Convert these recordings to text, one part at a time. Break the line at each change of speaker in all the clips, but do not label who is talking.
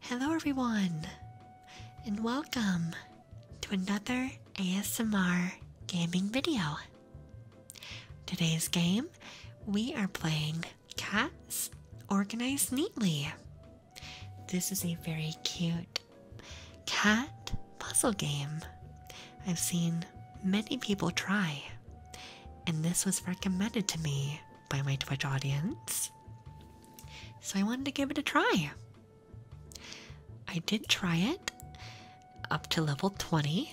Hello, everyone, and welcome to another ASMR gaming video. Today's game, we are playing Cats Organized Neatly. This is a very cute cat puzzle game. I've seen many people try, and this was recommended to me by my Twitch audience. So I wanted to give it a try. I did try it up to level 20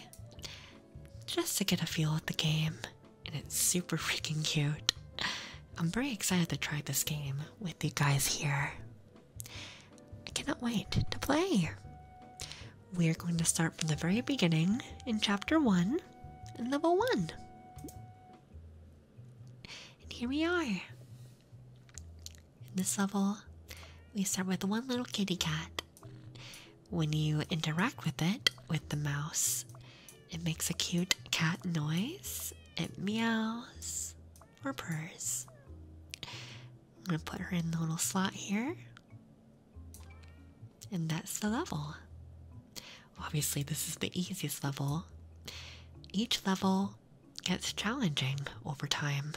just to get a feel of the game, and it's super freaking cute. I'm very excited to try this game with you guys here. I cannot wait to play. We are going to start from the very beginning in chapter 1 and level 1. And here we are. In this level, we start with one little kitty cat. When you interact with it, with the mouse, it makes a cute cat noise. It meows or purrs. I'm going to put her in the little slot here. And that's the level. Obviously, this is the easiest level. Each level gets challenging over time.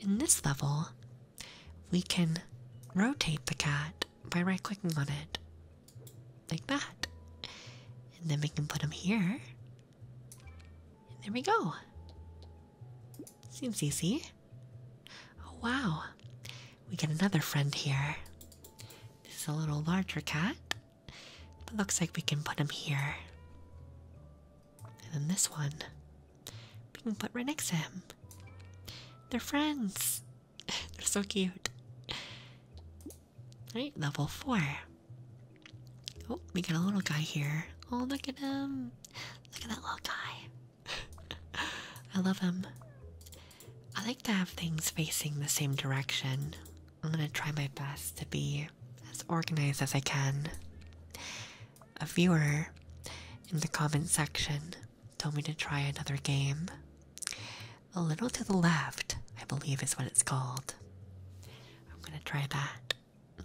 In this level, we can rotate the cat by right clicking on it, like that. And then we can put him here. there we go. Seems easy. Oh wow, we get another friend here. This is a little larger cat, but looks like we can put him here. And then this one, we can put right next to him. They're friends. They're so cute. Right, level 4. Oh, we got a little guy here. Oh, look at him. Look at that little guy. I love him. I like to have things facing the same direction. I'm gonna try my best to be as organized as I can. A viewer in the comment section told me to try another game. A little to the left, I believe is what it's called. I'm gonna try that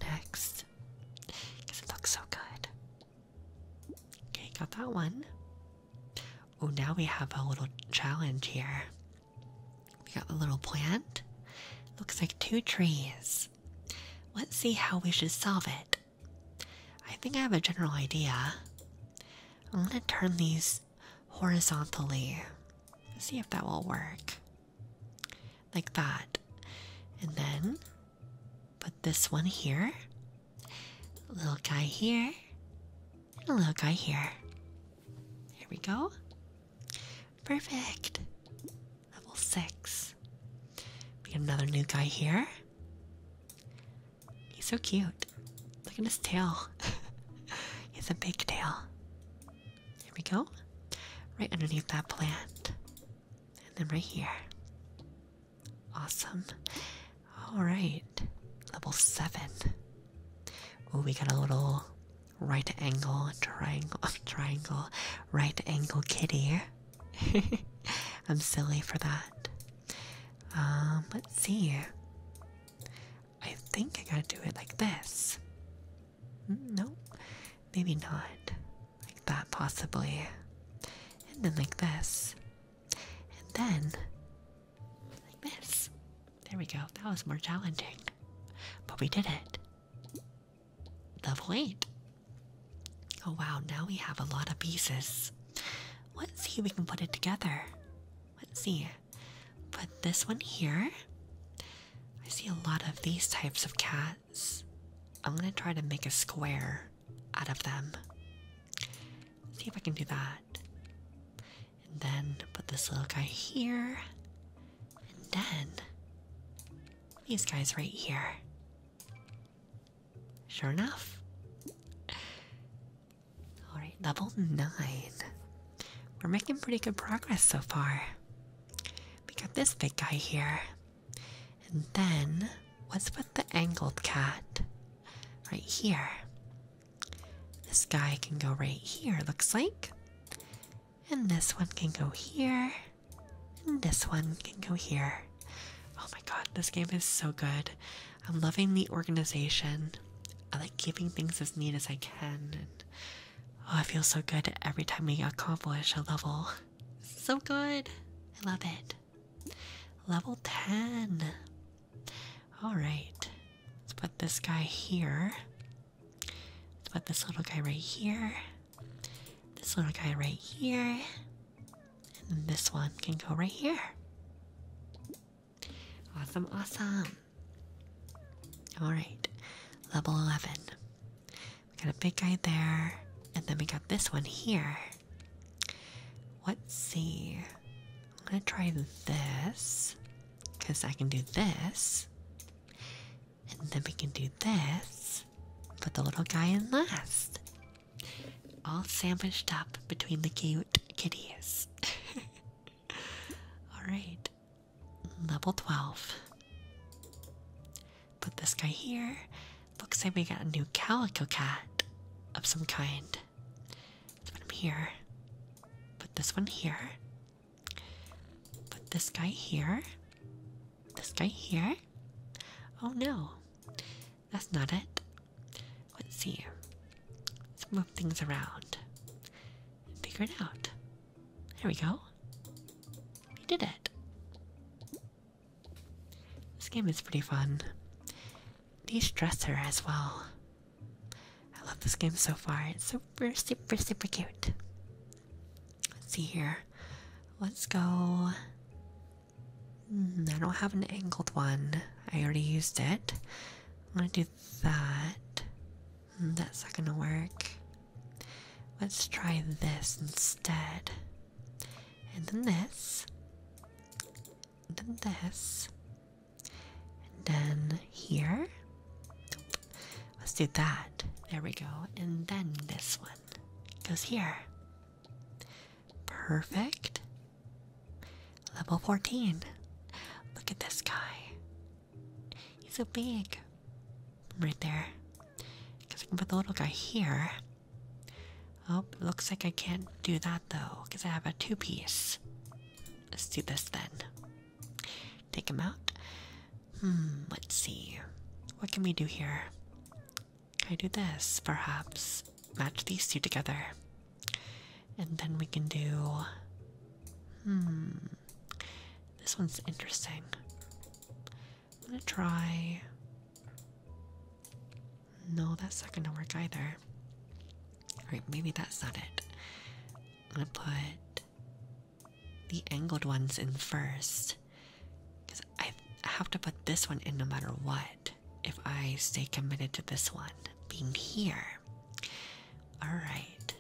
next because it looks so good. Okay, got that one. Oh, now we have a little challenge here. We got a little plant. Looks like two trees. Let's see how we should solve it. I think I have a general idea. I'm gonna turn these horizontally. See if that will work. Like that. And then put this one here. Little guy here a little guy here. Here we go. Perfect. Level six. We get another new guy here. He's so cute. Look at his tail. he has a big tail. Here we go. Right underneath that plant. And then right here. Awesome. All right, level seven. we got a little right angle triangle, triangle, right angle kitty. I'm silly for that. Um, let's see. I think I gotta do it like this. Mm, no, maybe not. Like that, possibly. And then like this. And then like this. There we go. That was more challenging. But we did it. The point. Oh wow, now we have a lot of pieces. Let's see if we can put it together. Let's see. Put this one here. I see a lot of these types of cats. I'm gonna try to make a square out of them. See if I can do that. And then put this little guy here. And then these guys right here. Sure enough. Alright, level 9. We're making pretty good progress so far. We got this big guy here. And then, what's with the angled cat? Right here. This guy can go right here, looks like. And this one can go here. And this one can go here. Oh my god, this game is so good. I'm loving the organization. I like keeping things as neat as I can. oh, I feel so good every time we accomplish a level. So good. I love it. Level 10. Alright. Let's put this guy here. Let's put this little guy right here. This little guy right here. And this one can go right here. Awesome, awesome. Alright, level 11. We got a big guy there, and then we got this one here. Let's see. I'm gonna try this because I can do this, and then we can do this. Put the little guy in last, all sandwiched up between the cute kitties. all right, level 12. Put this guy here. Looks like we got a new calico cat of some kind. This one here. Put this one here. Put this guy here. This guy here. Oh no, that's not it. Let's see. Let's move things around. Figure it out. There we go. We did it. This game is pretty fun. De dresser as well. I love this game so far. It's super, super, super cute. Let's see here. Let's go. Hmm, I don't have an angled one. I already used it. I'm gonna do that. Hmm, that's not gonna work. Let's try this instead. And then this. And then this. And then here. Let's do that. There we go. And then this one goes here. Perfect. Level 14. Look at this guy. He's so big. Right there. Because I can put the little guy here. Oh, looks like I can't do that though, because I have a two piece. Let's do this then. Take him out. Hmm, let's see. What can we do here? Can I do this? Perhaps match these two together. And then we can do. Hmm, this one's interesting. I'm gonna try. No, that's not gonna work either. Alright, maybe that's not it. I'm gonna put the angled ones in first. Because I have to put this one in no matter what if I stay committed to this one being here. Alright.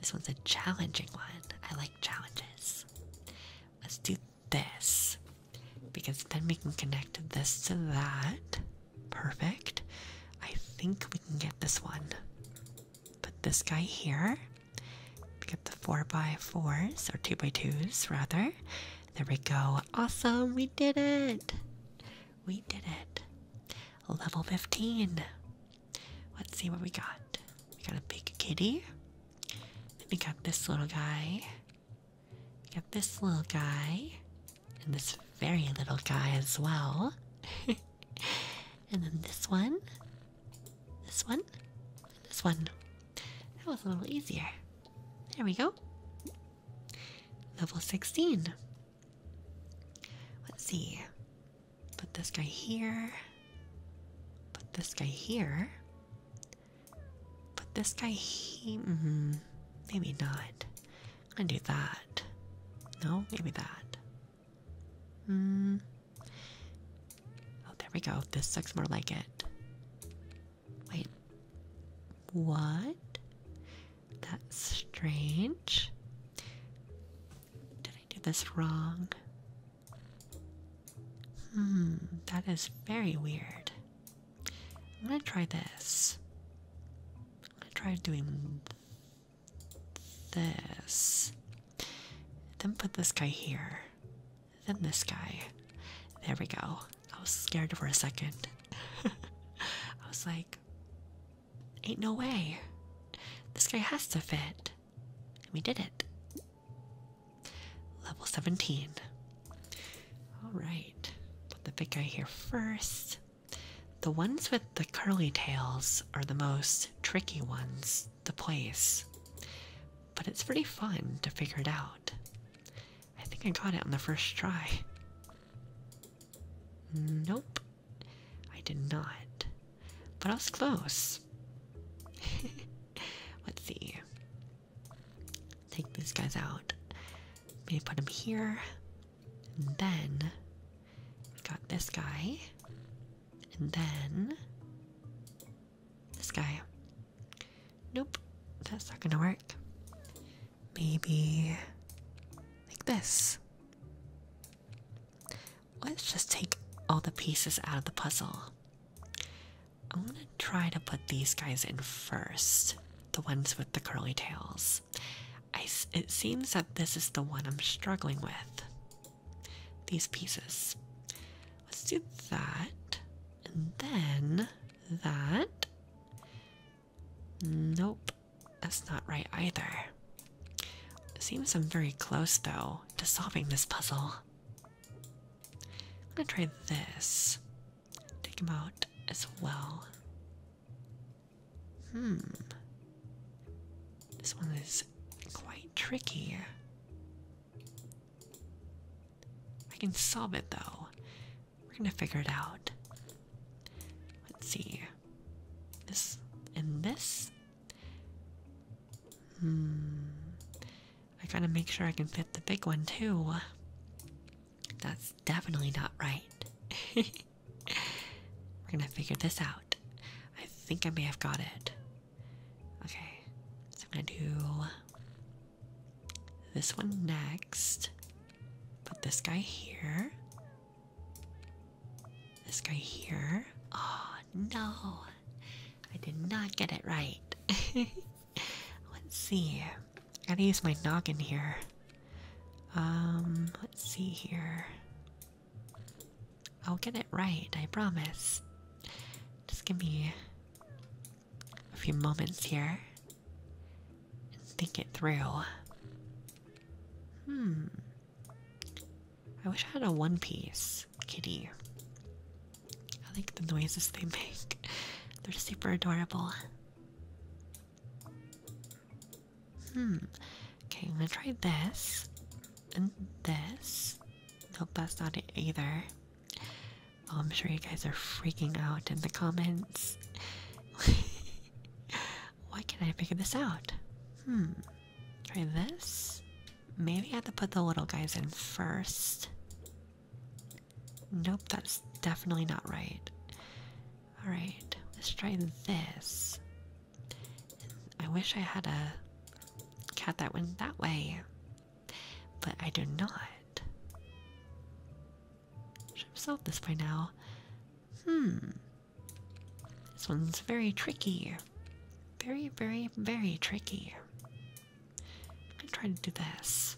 This one's a challenging one. I like challenges. Let's do this. Because then we can connect this to that. Perfect. I think we can get this one. Put this guy here. Get the 4x4s, or 2x2s rather. There we go. Awesome, we did it! We did it. Level 15. Let's see what we got. We got a big kitty. we got this little guy. We got this little guy and this very little guy as well. and then this one, this one, this one. That was a little easier. There we go. Level 16. Let's see. Put this guy here. Put this guy here. Put this guy here. Mm-hmm. Maybe not. I do that. No, maybe that. Hmm. Oh, there we go. This looks more like it. Wait. What? That's strange. Did I do this wrong? Hmm, that is very weird. I'm gonna try this. I try doing this. Then put this guy here. Then this guy. There we go. I was scared for a second. I was like, ain't no way. This guy has to fit. And we did it. Level 17. Alright. Put the big guy here first. The ones with the curly tails are the most tricky ones to place, but it's pretty fun to figure it out. I think I got it on the first try. Nope, I did not, but I was close. Let's see. Take these guys out. Maybe put them here. And then we got this guy. And then this guy. Nope, that's not gonna work. Maybe like this. Let's just take all the pieces out of the puzzle. I'm gonna try to put these guys in first the ones with the curly tails it seems that this is the one I'm struggling with. These pieces. Let's do that. And then that. Nope, that's not right either. seems I'm very close though to solving this puzzle. I'm gonna try this. Take him out as well. Hmm. This one is quite tricky. I can solve it though. We're gonna figure it out. Let's see. This and this? Hmm. I gotta make sure I can fit the big one too. That's definitely not right. We're gonna figure this out. I think I may have got it. Okay, so I'm gonna do this one next. Put this guy here. This guy here. Oh no, I did not get it right. Let's see. I gotta use my noggin here. Um, let's see here. I'll get it right, I promise. Just give me a few moments here and think it through. Hmm. I wish I had a one piece kitty. I like the noises they make, they're super adorable. Hmm. Okay, I'm gonna try this. And this. Nope, that's not it either. Oh, I'm sure you guys are freaking out in the comments. Why can't I figure this out? Hmm. Try this. Maybe I have to put the little guys in first. Nope, that's definitely not right. Alright, let's try this. I wish I had a cat that went that way, but I do not. Should have solved this by now. Hmm. This one's very tricky. Very, very, very tricky. I'm gonna try to do this.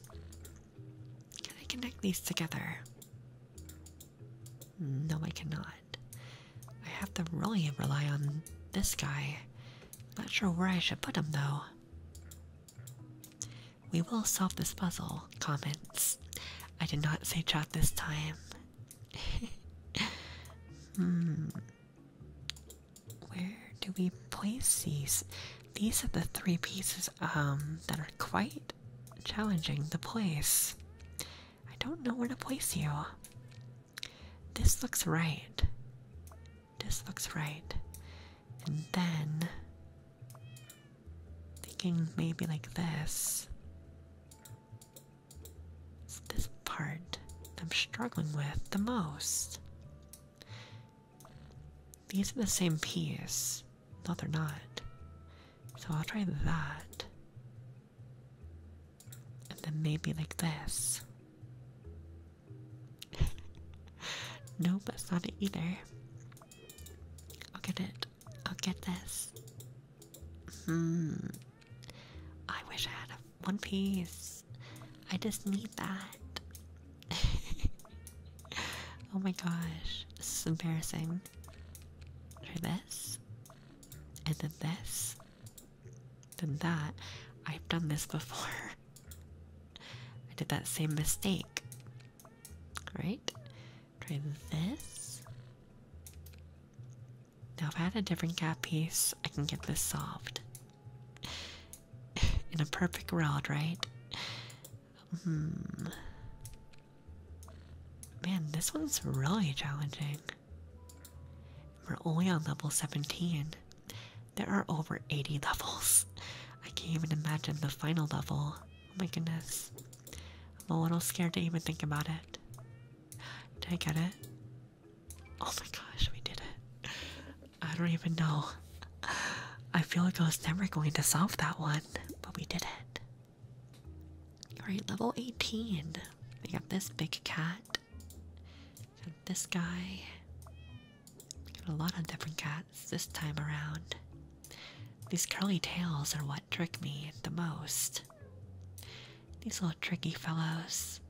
Can I connect these together? No, I cannot. I have to really rely on this guy. Not sure where I should put him though. We will solve this puzzle. Comments. I did not say chat this time. hmm. Where do we place these? These are the three pieces um, that are quite challenging The place. I don't know where to place you. This looks right. This looks right. And then, thinking maybe like this. this part I'm struggling with the most. These are the same piece. No, they're not. So I'll try that. And then maybe like this. nope, that's not it either. I'll get it. I'll get this. Hmm. I wish I had a one piece. I just need that. oh my gosh. This is embarrassing. Try this, and then this, then that. I've done this before. I did that same mistake. Right? Try this. Now, if I had a different gap piece, I can get this solved. In a perfect world, right? Hmm. Man, this one's really challenging. We're only on level 17. There are over 80 levels. I can't even imagine the final level. Oh my goodness. I'm a little scared to even think about it. Did I get it? Oh my gosh, we did it. I don't even know. I feel like I was never going to solve that one, but we did it. Alright, level 18. We got this big cat. this guy. got a lot of different cats this time around. These curly tails are what trick me the most. These little tricky fellows.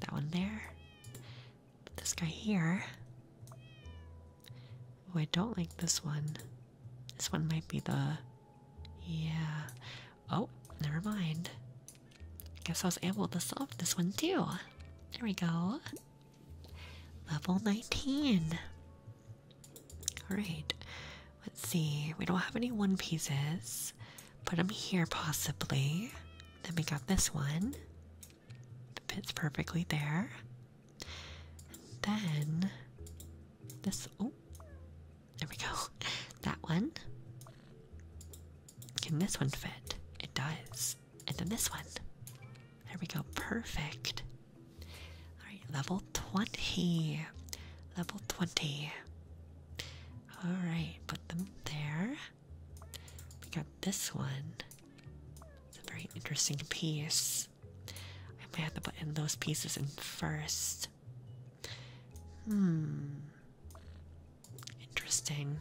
that one there. this guy here. Oh, I don't like this one. This one might be the. Yeah. Oh, never mind. Guess I was able to solve this one too. There we go. Level 19. Alright. Let's see. We don't have any one pieces. Put them here possibly. Then we got this one. fits perfectly there. And then this oh there we go. That one. Can this one fit? It does. And then this one. There we go. Perfect. Alright, level 20. Level 20. Alright, put them there. We got this one. It's a very interesting piece. I might have to put in those pieces in first. Hmm. Interesting.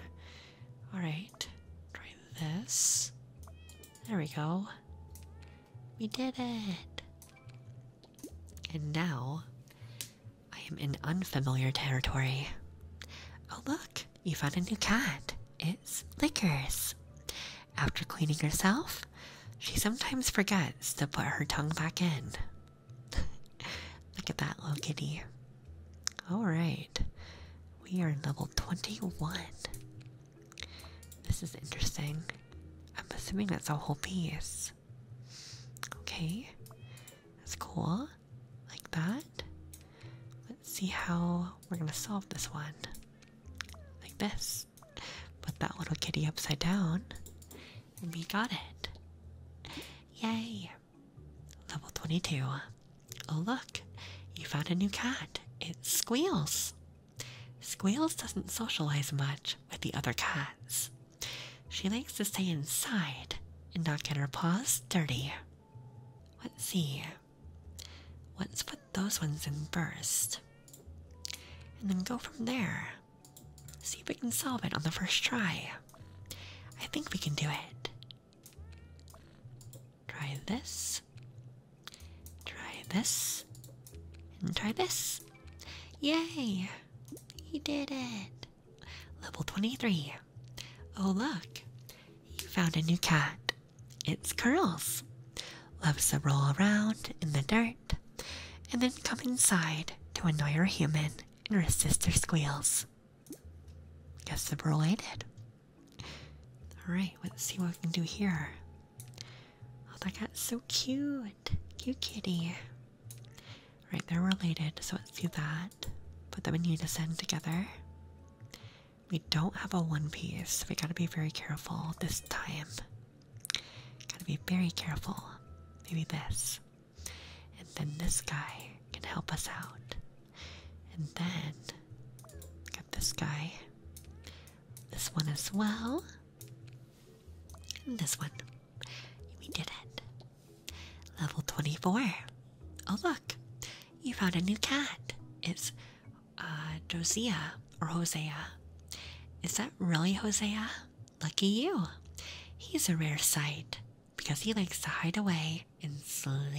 Alright. Try this. There we go. We did it! And now, I am in unfamiliar territory. Oh look, you found a new cat. It's Lickers. After cleaning herself, she sometimes forgets to put her tongue back in. Look at that little kitty. Alright, we are in level 21. This is interesting. I'm assuming that's a whole piece. Okay, that's cool. Like that. Let's see how we're gonna solve this one. Like this put that little kitty upside down and we got it. Yay! Level 22. Oh, look, you found a new cat. It squeals. Squeals doesn't socialize much with the other cats. She likes to stay inside and not get her paws dirty. Let's see. What's those ones in first. And then go from there. See if we can solve it on the first try. I think we can do it. Try this. Try this. And try this. Yay! He did it! Level 23. Oh, look! You found a new cat. It's Curls loves to roll around in the dirt and then come inside to annoy her human and her sister squeals. Guess they're related. Alright, let's see what we can do here. Oh, that cat's so cute. Cute kitty. Right, they're related, so let's do that. But Put them in unison together. We don't have a one piece, so we gotta be very careful this time. Gotta be very careful. Maybe this. And then this guy can help us out. And then got this guy. This one as well. And this one. We did it. Level 24. Oh, look. You found a new cat. It's uh, or Hosea. Is that really Hosea? Lucky you. He's a rare sight because he likes to hide away and sleep.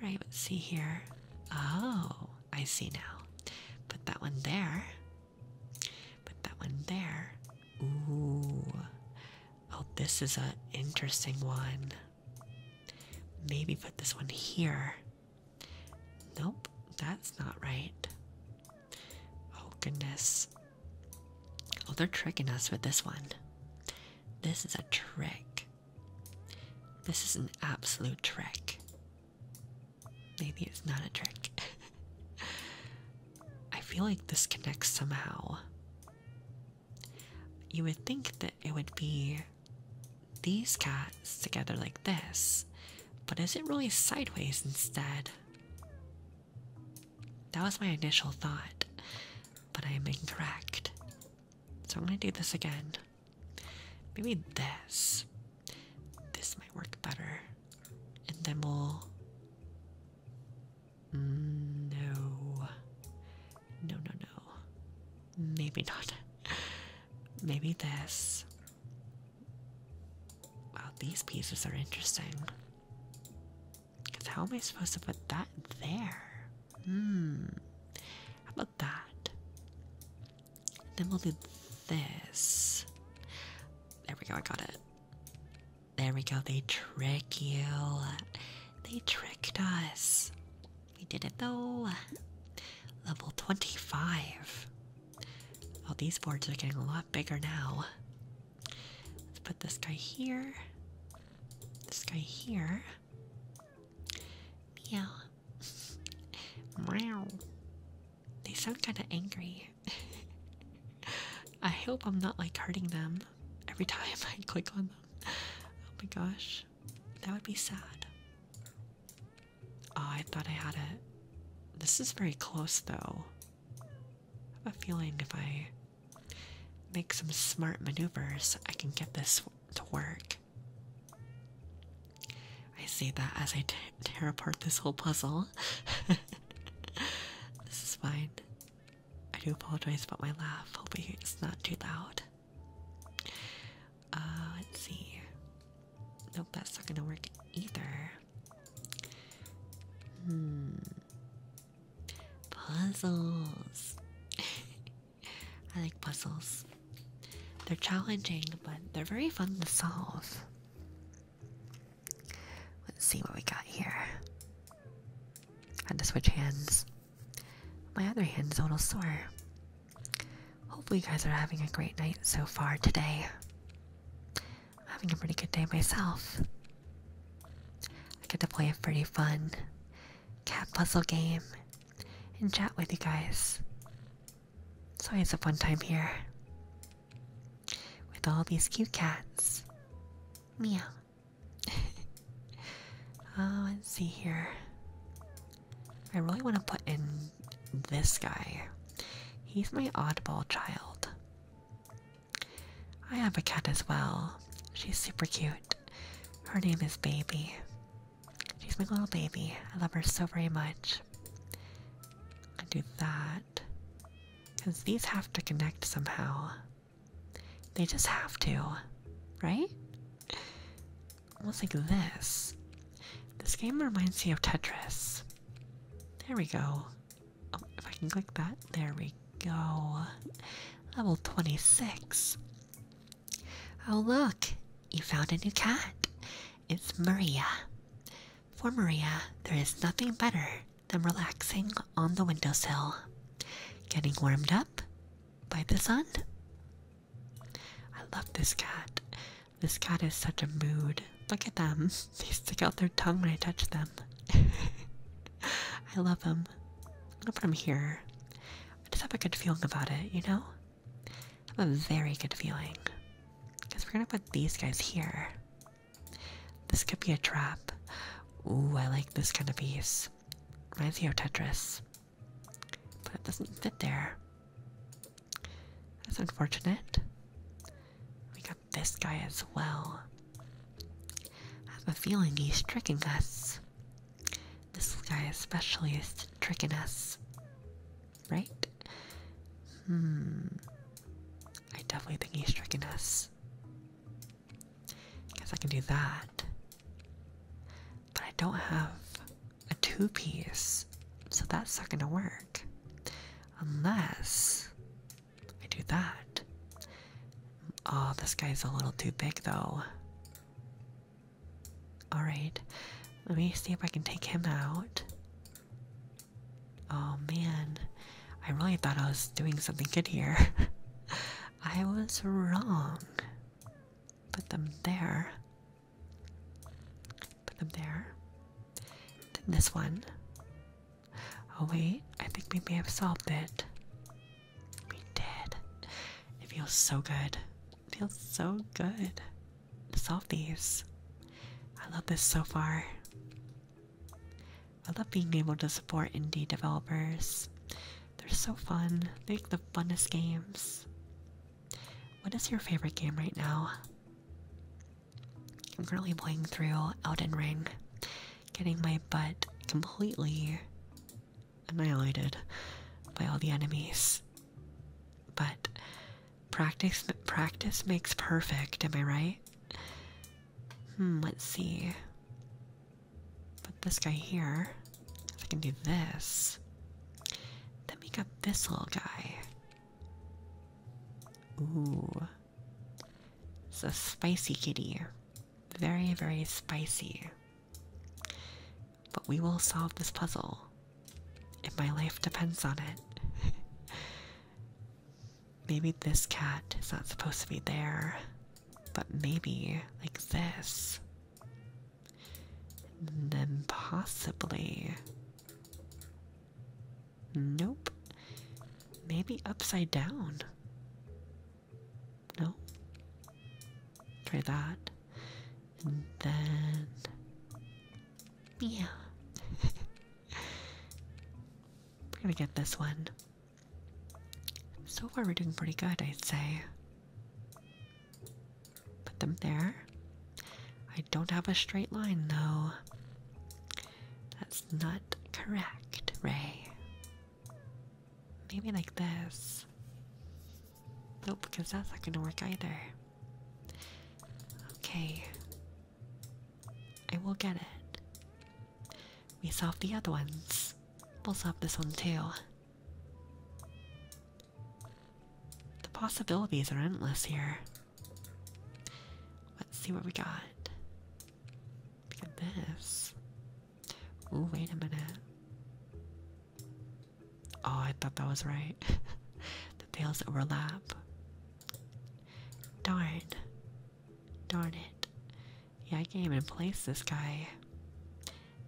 Alright, let's see here. Oh, I see now. Put that one there. Put that one there. Ooh. Oh, this is an interesting one. Maybe put this one here. Nope, that's not right. Oh, goodness. Oh, they're tricking us with this one. This is a trick. This is an absolute trick. Maybe it's not a trick. I feel like this connects somehow. You would think that it would be these cats together like this, but is it really sideways instead? That was my initial thought, but I am incorrect. So I'm going to do this again. Maybe this. This might work better. And then we'll. No. No, no, no. Maybe not. Maybe this. Wow, these pieces are interesting. Because how am I supposed to put that there? Hmm. How about that? Then we'll do this. There we go, I got it. There we go, they trick you. They tricked us. We did it though. Level 25. Oh, these boards are getting a lot bigger now. Let's put this guy here. This guy here. Meow. Meow. They sound kind of angry. I hope I'm not like hurting them every time I click on them. Oh my gosh. That would be sad. Oh, I thought I had it. This is very close though. I have a feeling if I make some smart maneuvers, I can get this to work. I see that as I tear apart this whole puzzle. this is fine. I do apologize about my laugh. Hopefully, it's not too loud. Uh, let's see. Nope, that's not gonna work either. Hmm. Puzzles. I like puzzles. They're challenging, but they're very fun to solve. Let's see what we got here. I had to switch hands. My other hand's a little sore. Hopefully, you guys are having a great night so far today. I'm having a pretty good day myself. I get to play a pretty fun cat puzzle game and chat with you guys. So It's a fun time here with all these cute cats. Meow. oh, let's see here. I really want to put in this guy. He's my oddball child. I have a cat as well. She's super cute. Her name is Baby. She's my little baby. I love her so very much. I do that. Because these have to connect somehow. They just have to, right? almost like this. This game reminds me of Tetris. There we go. Oh, if I can click that, there we go. Level 26. Oh, look, you found a new cat. It's Maria. For Maria, there is nothing better than relaxing on the windowsill, getting warmed up by the sun. I love this cat. This cat is such a mood. Look at them. They stick out their tongue when I touch them. I love them. I'm gonna put them here. I just have a good feeling about it, you know? I have a very good feeling. Because we're gonna put these guys here. This could be a trap. Ooh, I like this kind of piece. Reminds me of Tetris. But it doesn't fit there. That's unfortunate. We got this guy as well. I have a feeling he's tricking us. This guy especially is tricking us. Right? Hmm. I definitely think he's tricking us. Guess I can do that. But I don't have a two piece, so that's not gonna work. Unless I do that. Oh, this guy's a little too big though. Alright, let me see if I can take him out. Oh man, I really thought I was doing something good here. I was wrong. Put them there. Put them there. Then this one. Oh wait, I think maybe i have solved it. We did. It feels so good. It feels so good to solve these. I love this so far. I love being able to support indie developers. They're so fun. They make the funnest games. What is your favorite game right now? I'm currently playing through Elden Ring, getting my butt completely annihilated by all the enemies. But practice practice makes perfect, am I right? Hmm, let's see. Put this guy here. If I can do this, then we got this little guy. Ooh. It's a spicy kitty. Very, very spicy. But we will solve this puzzle. If my life depends on it. maybe this cat is not supposed to be there. But maybe, like this. And then possibly. Nope. Maybe upside down. No. Try that. And then. Yeah. we're gonna get this one. So far, we're doing pretty good, I'd say. Put them there. I don't have a straight line though. That's not correct, Ray. Maybe like this. Nope, because that's not gonna work either. Okay. I will get it. We solved the other ones. We'll solve this one too. The possibilities are endless here. Let's see what we got. Look at this. Ooh, wait a minute. Oh, I thought that was right. the pails overlap. Darn. it! Darn it. Yeah, I can't even place this guy.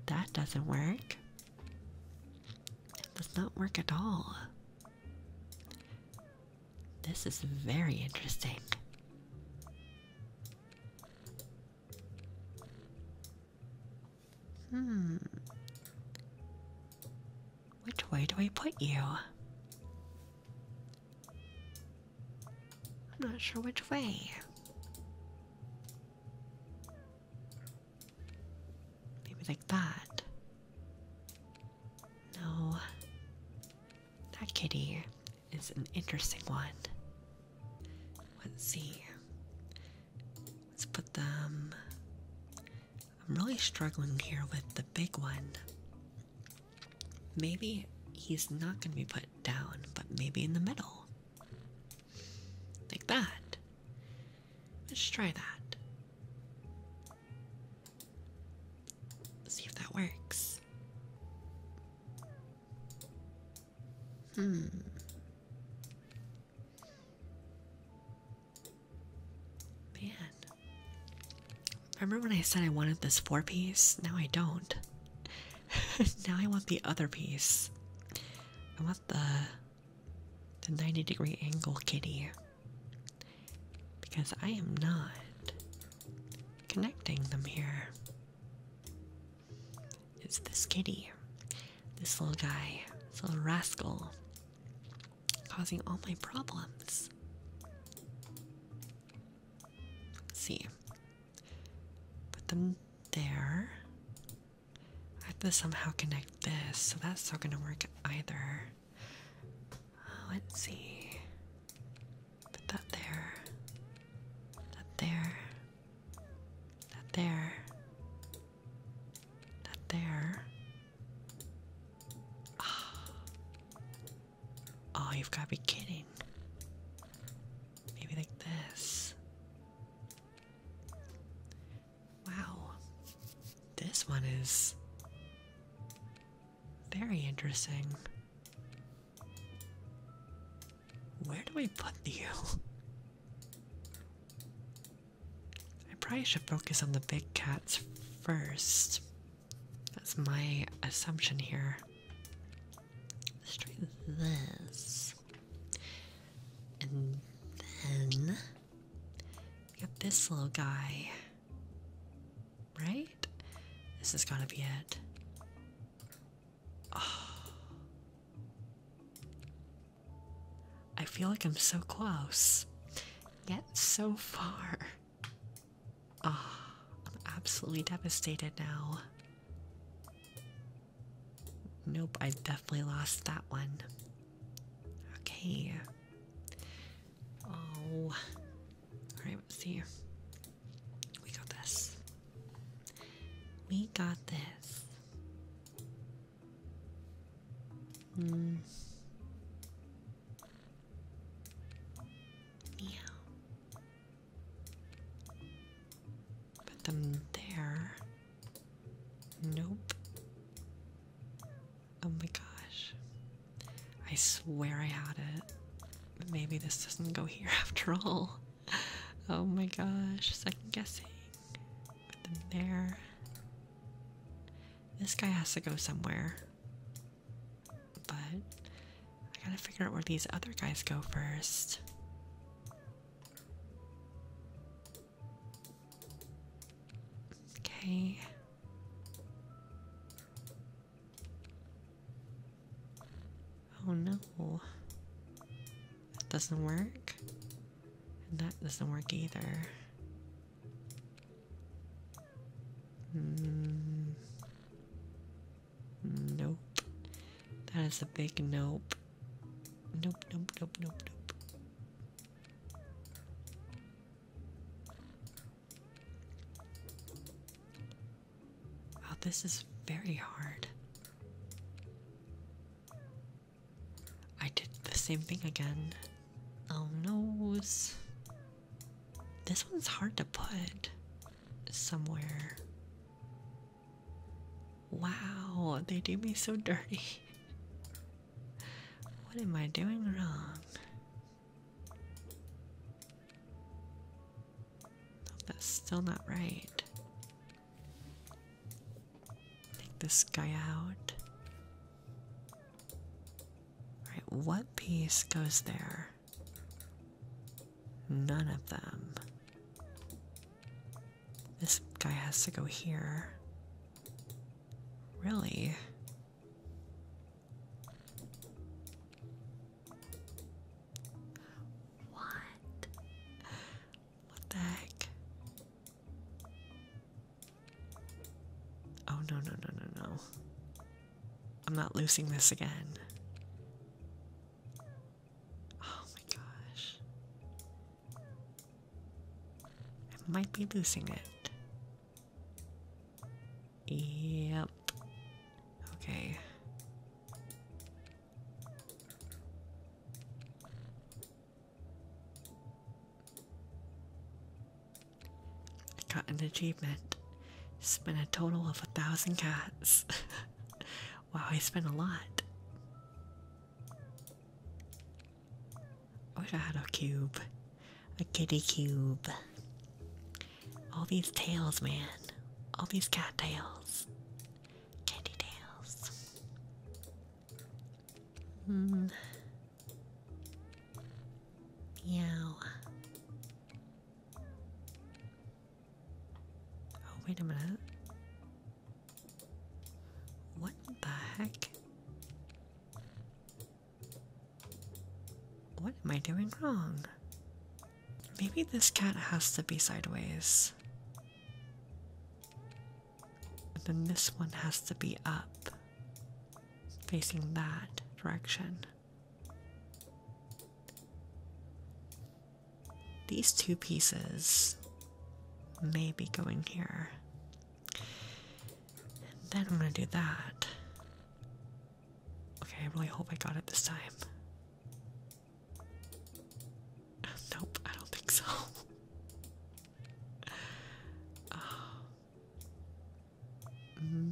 That doesn't work does not work at all. This is very interesting. Hmm. Which way do we put you? I'm not sure which way. Maybe like that. No. That kitty is an interesting one. Let's see. Let's put them. I'm really struggling here with the big one. Maybe he's not going to be put down, but maybe in the middle. Like that. Let's try that. see if that works. Hmm. Man. Remember when I said I wanted this four piece? Now I don't. now I want the other piece. I want the the 90 degree angle kitty because I am not connecting them here. It's this kitty, this little guy, this little rascal, causing all my problems. see. Put them there. I have to somehow connect this, so that's not going to work either. Uh, let's see. Put that there. That there. That there. That there. Ah. Oh, you've got to be kidding. Maybe like this. Wow. This one is very interesting. Where do we put you? I probably should focus on the big cats first. That's my assumption here. let this. And then got this little guy. Right? This is gotta be it. Ah. I feel like I'm so close, yet so far. Oh, I'm absolutely devastated now. Nope, I definitely lost that one. Okay. Oh. All right, let's see. We got this. We got this. Hmm. Yeah. Put them there. Nope. Oh my gosh. I swear I had it. Maybe this doesn't go here after all. Oh my gosh. Second guessing. Put them there. This guy has to go somewhere. But I gotta figure out where these other guys go first. Okay. Oh no. That doesn't work. that doesn't work either. Hmm. Nope. That is a big nope. Nope, nope, nope, nope, nope. Wow, oh, this is very hard. I did the same thing again. Oh noes. This one's hard to put somewhere. Wow, they do me so dirty. What am I doing wrong? that's still not right. Take this guy out. Alright, what piece goes there? None of them. This guy has to go here. Really? What? What the heck? Oh, no, no, no, no, no. I'm not losing this again. Oh my gosh. I might be losing it. Yep. Okay. got an achievement. Spent a total of a thousand cats. wow, I spent a lot. I wish I had a cube. A kitty cube. All these tails, man. All these cat tails. Candy tails. Hmm. Meow. Oh, wait a minute. What the heck? What am I doing wrong? Maybe this cat has to be sideways. And then this one has to be up, facing that direction. These two pieces may be going here then I'm gonna do that. Okay, I really hope I got it this time. nope, I don't think so. Um,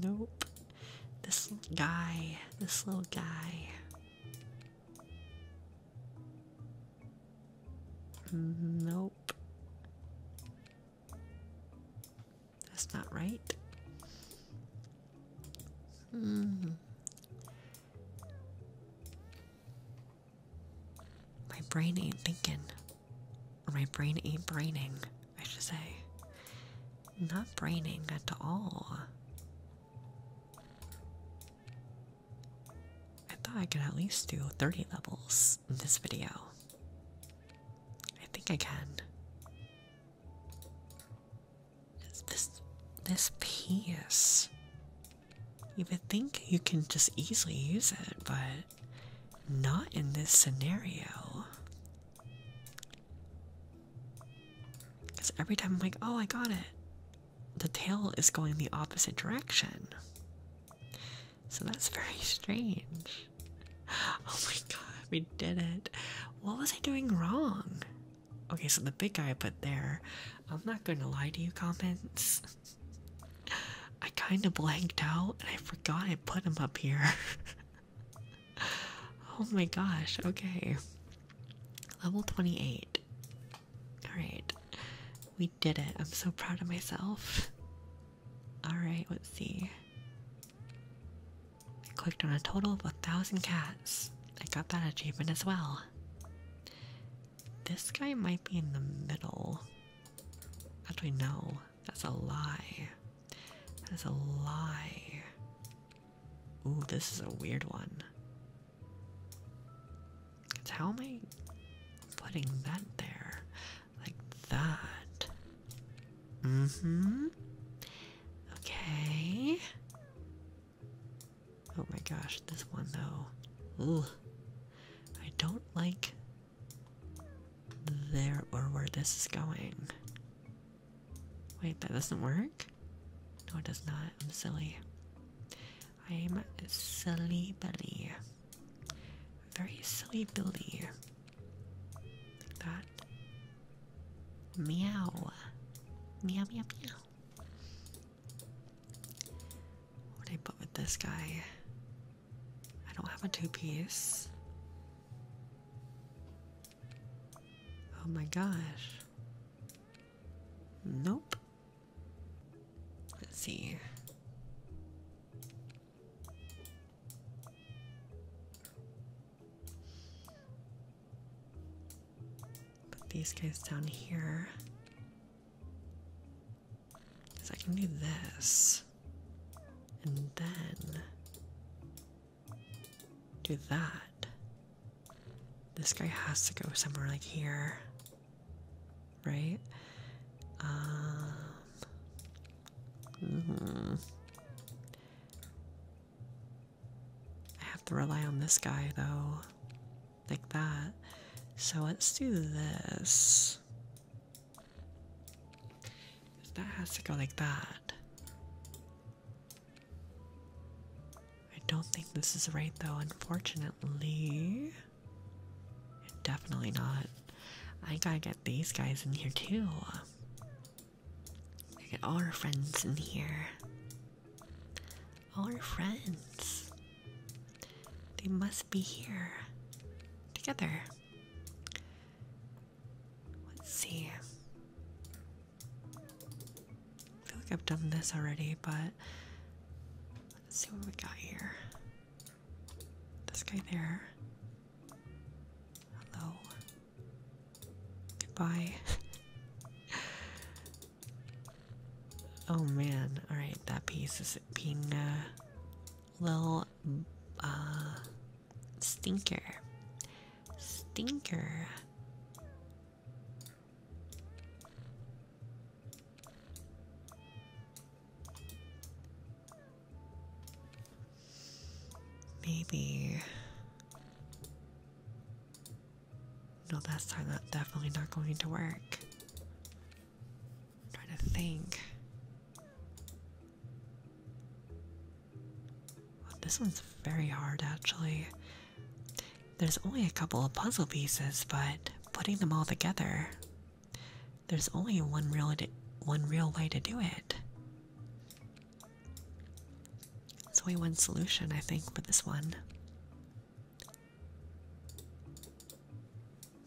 nope. This guy, this little guy. Nope. That's not right. My brain ain't thinking. Or my brain ain't braining, I should say. Not braining at all. I thought I could at least do 30 levels in this video. I think I can. this this piece? You would think you can just easily use it, but not in this scenario. Because every time I'm like, oh, I got it, the tail is going the opposite direction. So that's very strange. Oh my god, we did it. What was I doing wrong? Okay, so the big guy I put there. I'm not gonna lie to you, comments. I kinda blanked out and I forgot I put him up here. oh my gosh, okay. Level 28. Alright. We did it. I'm so proud of myself. Alright, let's see. I clicked on a total of a thousand cats. I got that achievement as well. This guy might be in the middle. Actually, no. That's a lie. That is a lie. Ooh, this is a weird one. It's how am I putting that there? Like that. Mm-hmm. Okay. Oh my gosh, this one though. Ooh. I don't like there or where this is going. Wait, that doesn't work? No, it does not. I'm silly. I'm silly belly. Very silly belly. that. Meow. Meow, meow, meow. What do I put with this guy? I don't have a two piece. Oh my gosh. Nope. Let's see. Put these guys down here. Because I can do this. And then do that. This guy has to go somewhere like here right? Um, mm-hmm. I have to rely on this guy though, like that. So let's do this. That has to go like that. I don't think this is right though, unfortunately. Definitely not. I gotta get these guys in here too. We get all our friends in here. All our friends. They must be here. Together. Let's see. I feel like I've done this already, but let's see what we got here. This guy there. Hello. Goodbye. oh man. Alright, that piece is being uh, a little uh, stinker. Stinker. Maybe. No, that's time definitely not going to work. I'm trying to think. this one's very hard actually. There's only a couple of puzzle pieces, but putting them all together there's only one real one real way to do it. There's only one solution, I think, for this one.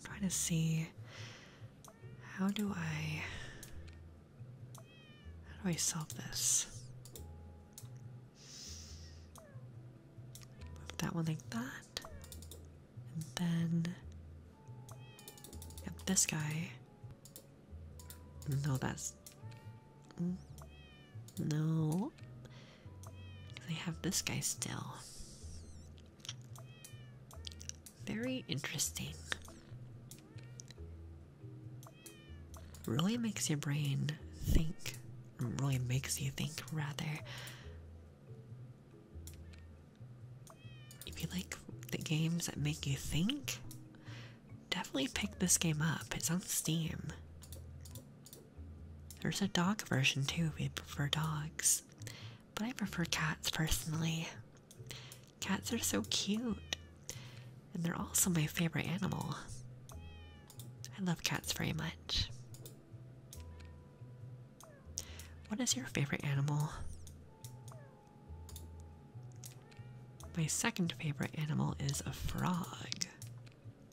trying to see how do I how do I solve this? that one like that. And then yep, this guy. No, that's no. They have this guy still. Very interesting. Really makes your brain think. Really makes you think, rather. If you like the games that make you think, definitely pick this game up. It's on Steam. There's a dog version too if you prefer dogs, but I prefer cats personally. Cats are so cute, and they're also my favorite animal. I love cats very much. What is your favorite animal? My second favorite animal is a frog.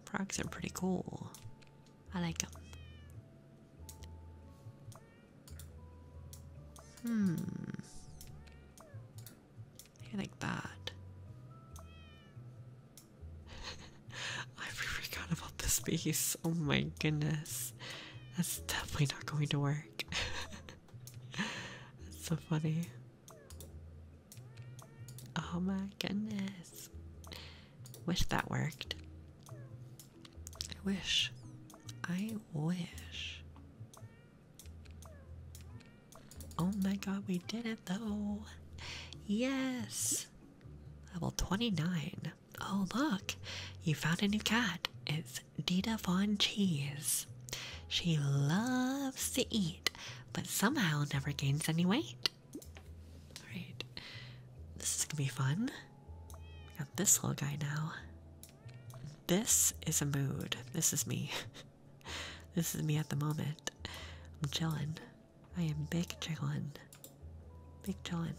Frogs are pretty cool. I like them. Hmm. I like that. I forgot about the space. Oh my goodness. That's definitely not going to work. That's so funny. Oh my goodness. Wish that worked. I wish. I wish. Oh my god, we did it though. Yes. Level 29. Oh, look, you found a new cat. It's Dita Von Cheese. She loves to eat, but somehow never gains any weight. Alright, this is gonna be fun. We got this little guy now. This is a mood. This is me. this is me at the moment. I'm chilling. I am big chillin'. Big chillin'.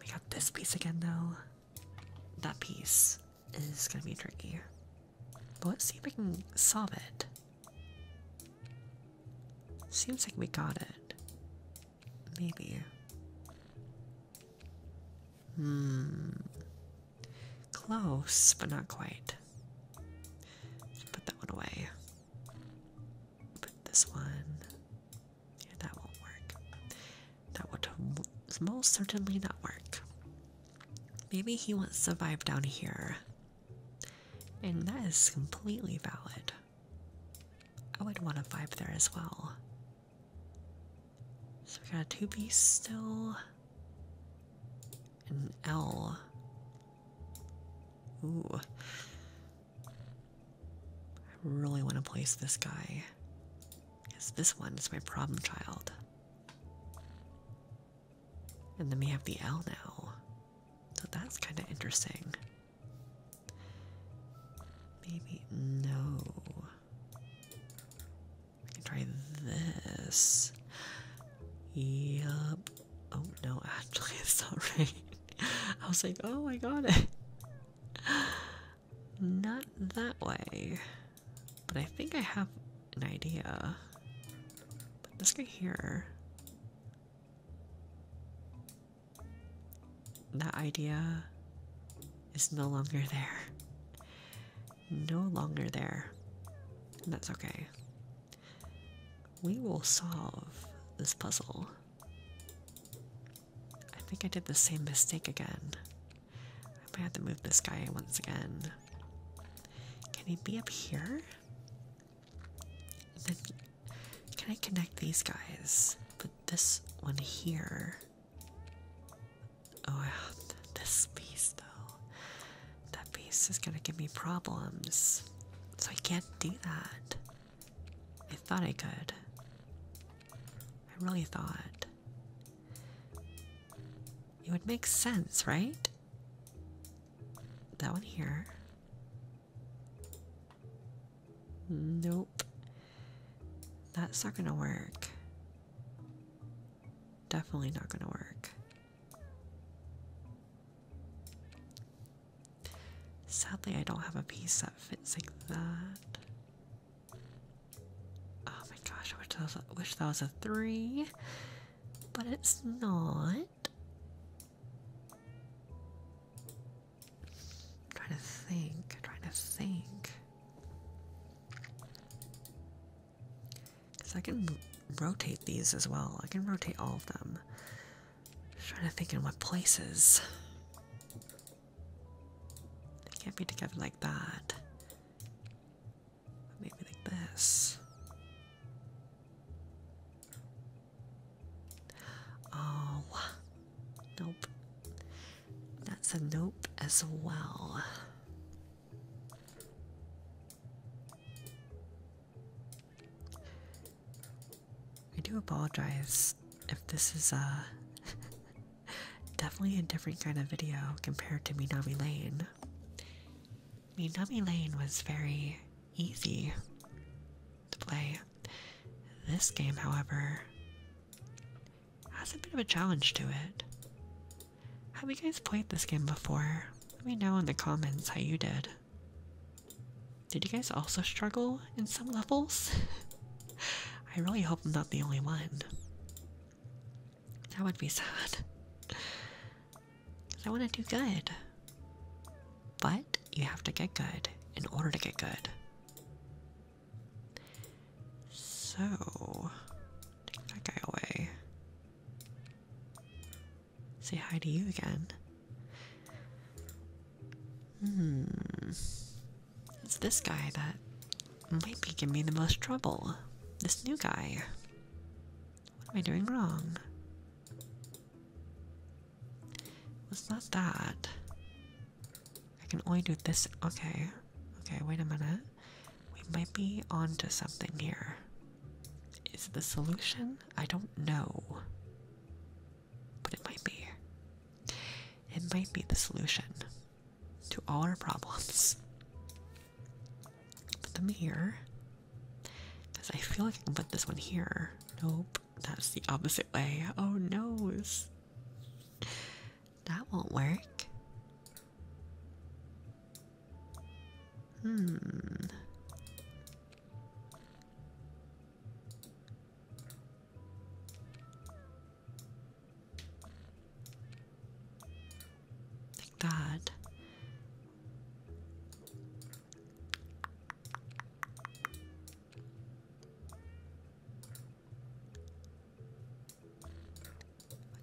We got this piece again, though. That piece is gonna be tricky. But let's see if we can solve it. Seems like we got it. Maybe. Hmm. Close, but not quite. put that one away. But this one. Yeah, that won't work. That would most certainly not work. Maybe he won't survive down here. And that is completely valid. I would want to vibe there as well. So we got a 2B still. An L. Ooh. I really want to place this guy. Cause this one is my problem child. And then we have the L now. So that's kind of interesting. Maybe, no. We can try this. Yup. Oh no, actually, it's not I was like, oh, I got it. Not that way. But I think I have an idea. Put this guy here. That idea is no longer there. No longer there. that's okay. We will solve this puzzle. I think I did the same mistake again. I might have to move this guy once again. Can he be up here? can I connect these guys? But this one here. Oh, this piece though. That piece is gonna give me problems. So I can't do that. I thought I could. I really thought. It would make sense, right? That one here. Nope. That's not gonna work. Definitely not gonna work. Sadly, I don't have a piece that fits like that. Oh my gosh, I wish that was a, wish that was three, but it's not. I'm trying to think, I'm trying to think. Because I can rotate these as well, I can rotate all of them. I'm trying to think in what places. They can't be together like that. Maybe like this. Oh, nope. That's a nope as well. I do apologize if this is uh, definitely a different kind of video compared to Minami Lane. Minami Lane was very easy to play. This game, however, has a bit of a challenge to it. Have you guys played this game before? Let me know in the comments how you did. Did you guys also struggle in some levels? I really hope I'm not the only one. That would be sad. I want to do good. But you have to get good in order to get good. So, take that guy away. Say hi to you again. Hmm. It's this guy that might be giving me the most trouble. This new guy. What am I doing wrong? It's not that. I can only do this. Okay. Okay, wait a minute. We might be onto something here. Is the solution? I don't know but it might be. It might be the solution to all our problems. Put them here, Because I feel like I can put this one here. Nope, that's the opposite way. Oh no. That won't work. Hmm. Like that.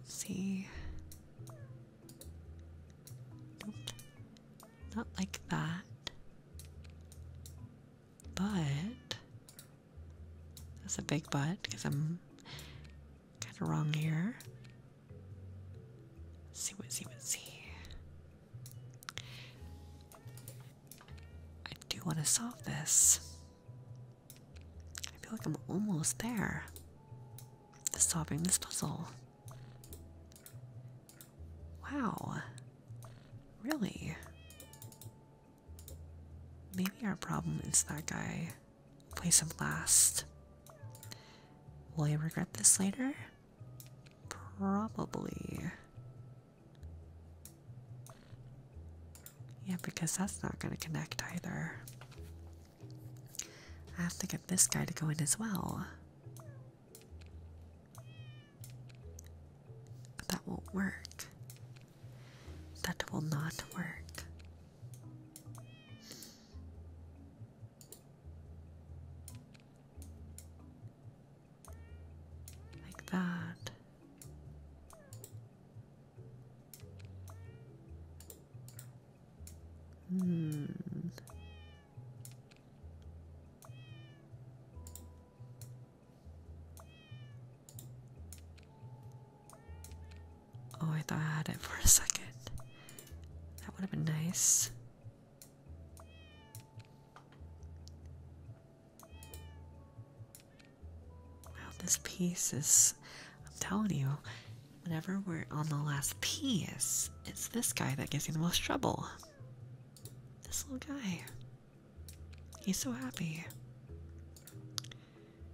Let's see. Not like that but that's a big but because I'm kind of wrong here. see what see what see. I do want to solve this. I feel like I'm almost there. Solving this puzzle. Wow. Really? Maybe our problem is that guy. Place of last. Will I regret this later? Probably. Yeah, because that's not going to connect either. I have to get this guy to go in as well that won't work. That will not work. Like that. Hmm. Oh, I thought I had it for a second. That would have been nice. Well, this piece is. I'm telling you, whenever we're on the last piece, it's this guy that gives you the most trouble. This little guy. He's so happy.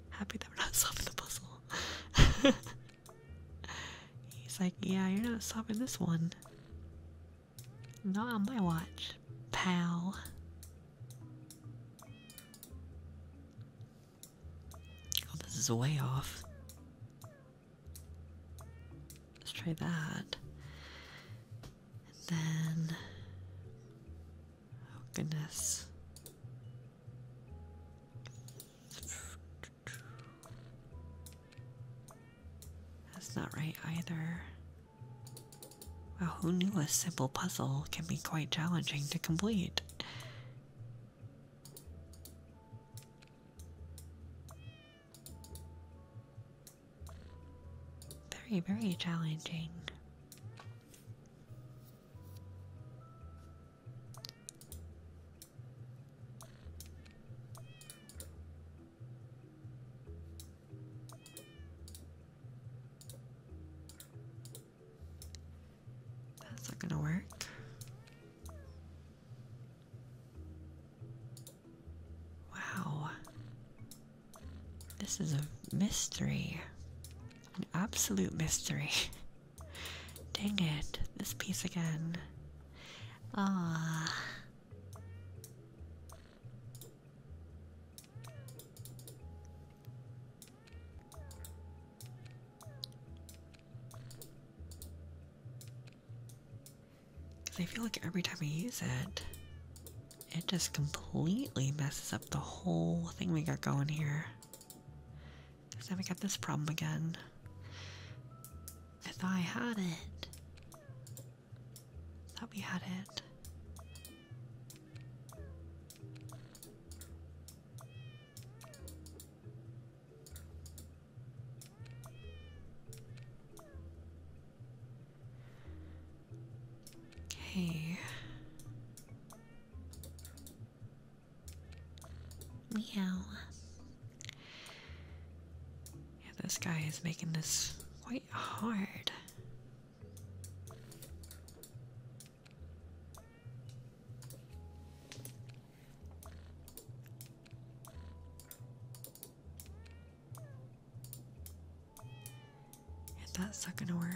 Happy that we're not solving the puzzle. He's like, yeah, you're not solving this one. Not on my watch, pal. Oh, this is way off. Let's try that. And then. Oh, goodness. That's not right either. Well, who knew a simple puzzle can be quite challenging to complete? Very, very challenging. That's not gonna work. Wow. This is a mystery. An absolute mystery. Dang it. This piece again. Ah. Because I feel like every time I use it, it just completely messes up the whole thing we got going here. Because now we got this problem again. I thought I had it. Thought we had it. Okay. Meow. Yeah, this guy is making this quite hard. And that's not gonna work.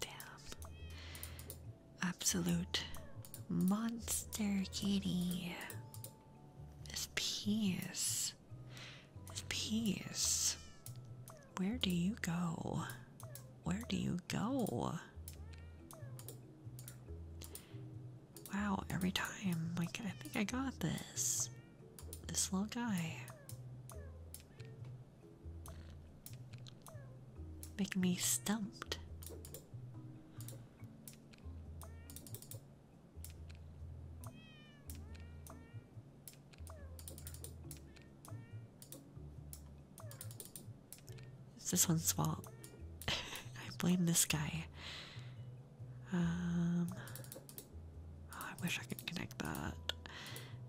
Damn. Absolute monster kitty. This piece. This piece. Where do you go? Where do you go. Wow, every time. Like, I think I got this. This little guy. Making me stumped. It's this one's fault. I blame this guy. Um, oh, I wish I could connect that.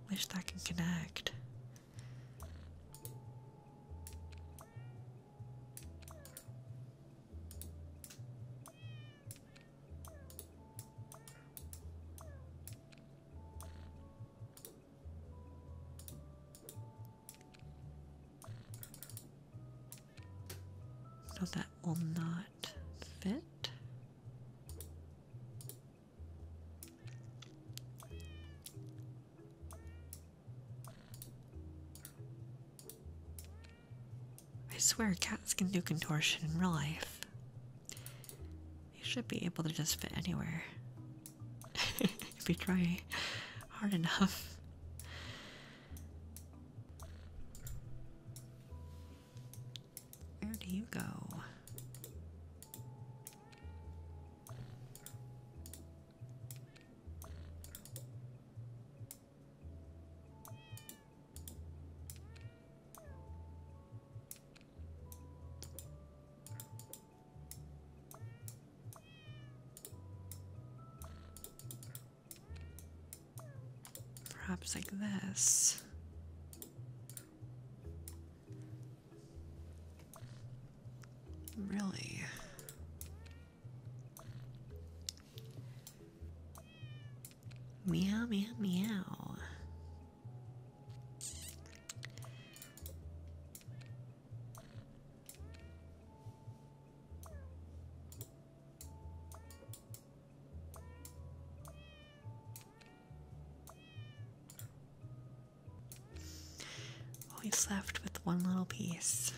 Wish that can connect. So that will not fit. I swear cats can do contortion in real life. They should be able to just fit anywhere. if you try hard enough. Where do you go? Perhaps like this. Really? Meow, meow, meow. Always left with one little piece.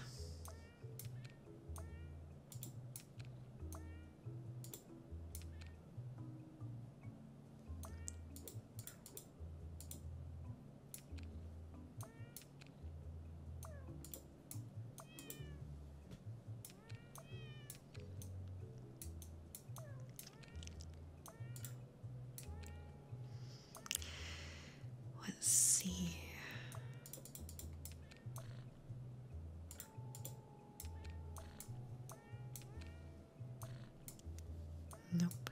Let's see. Nope.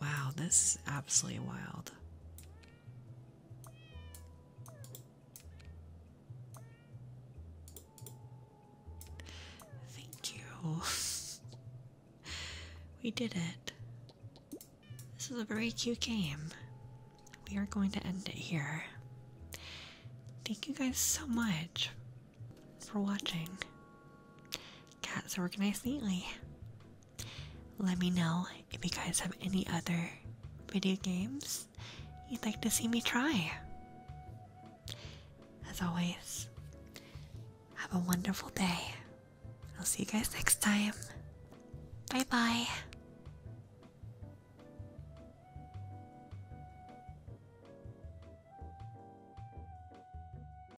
Wow, this is absolutely wild. Thank you. we did it. This is a very cute game. We are going to end it here. Thank you guys so much for watching. Cat's are organized neatly. Let me know if you guys have any other video games you'd like to see me try. As always, have a wonderful day. I'll see you guys next time. Bye bye.